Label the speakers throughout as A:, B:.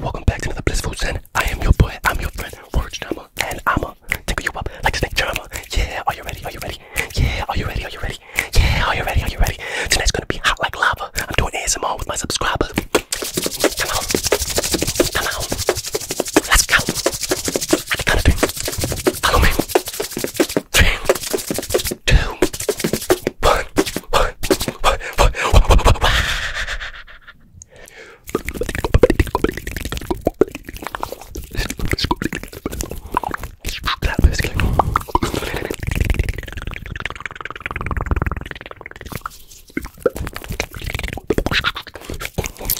A: Welcome back to another blissful zen. I am your boy. I'm your friend, Orange Drama, and I'ma tickle you up like snake drama. Yeah, are you ready? Are you ready? Yeah, are you ready? Are you ready? Yeah, are you ready? Are you ready? Tonight's gonna be hot like lava. I'm doing ASMR with my subscribers. Come on, come on, let's go. Fantastic. Follow me. Three, two, one, one, one, one, one, one, one.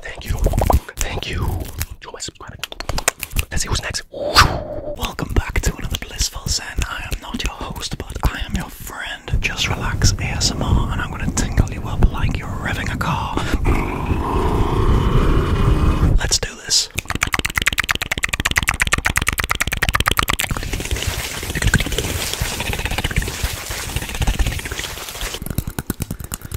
A: Thank you. Thank you. Enjoy my subscribing. Let's see who's next. Welcome back to another Blissful Zen. I am not your host, but I am your friend. Just relax ASMR and I'm going to tingle you up like you're revving a car. Let's do this.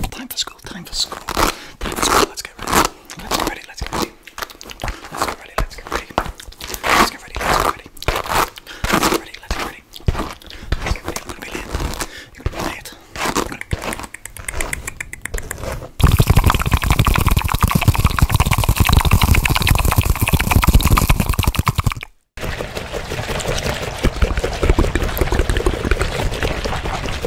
A: Time for school, time for school, time for school, let's go get ready. Let's get ready. Let's get ready. Let's get ready. Let's get ready. Let's get ready. Let's get ready. Let's get ready. Let's get ready. Let's get ready. You're gonna be late. You're gonna be late. You're gonna be late.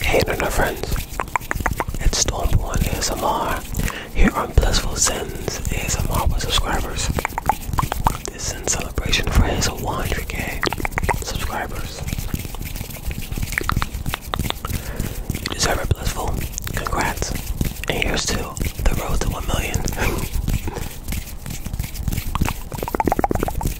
A: Hey internet friends, it's Stormborn ASMR here on Blissful Sins ASMR with subscribers. This is in celebration for his 100k subscribers. You deserve it, Blissful. Congrats. And here's to the road to 1 million.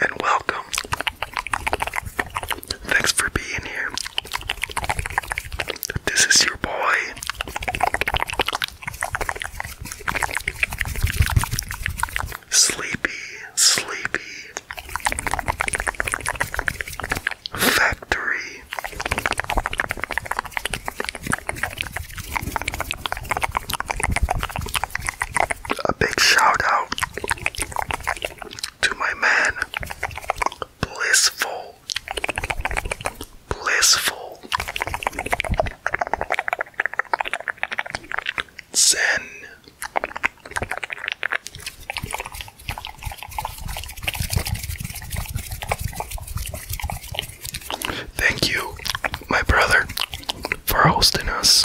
A: And welcome. Thanks for being here. This is your boy. Sleepy, sleepy. Factory. A big shout out to my man, Blissful. Blissful. Zen. Thank you, my brother, for hosting us.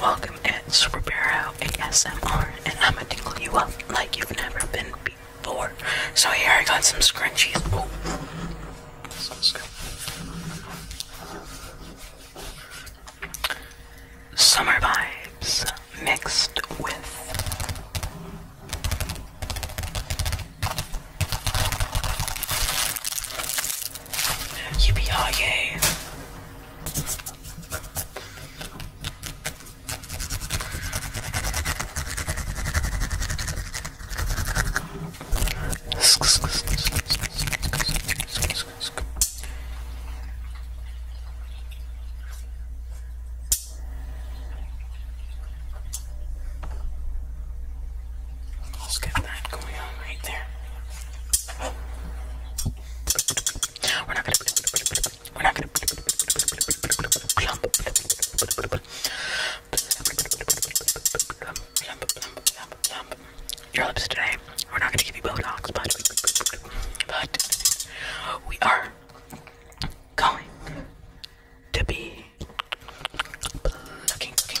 A: Welcome at Superbarrow ASMR, and I'ma tickle you up like you've never been before. So here I got some scrunchies. Oh, Summer vibes mixed with yippee Let's get that going on right there. We're not gonna we're not gonna your lips today. We're not gonna give you Botox, but but we are going to be looking, looking,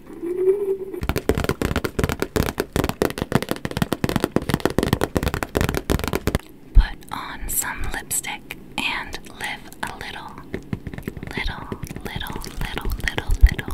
A: Put on some lipstick and live a little, little, little, little, little, little.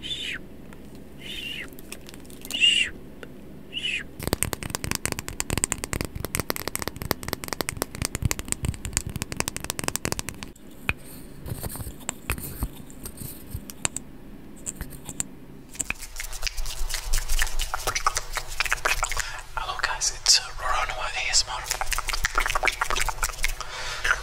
A: Shoop, shoop, shoop, shoop. Hello guys, it's uh, Roronua ASMR.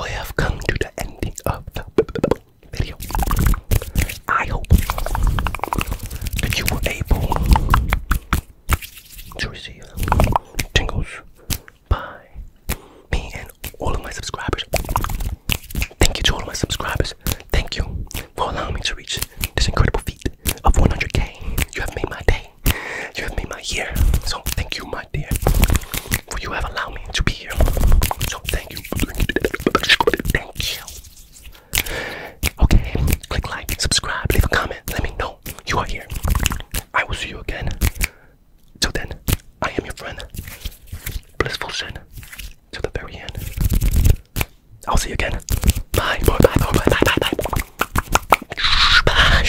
A: We have come to the ending of the video. I hope that you were able to receive tingles by me and all of my subscribers. Thank you to all my subscribers. Thank you for allowing me to reach this incredible of 100k. You have made my day. You have made my year. So thank you, my dear, for you have allowed me to be here. So thank you. Thank you. Okay, click like, subscribe, leave a comment. Let me know you are here. I will see you again. Till then, I am your friend. Blissful Shen. Till the very end. I'll see you again. Bye. Bye. Bye. Bye. Bye. Bye. Bye.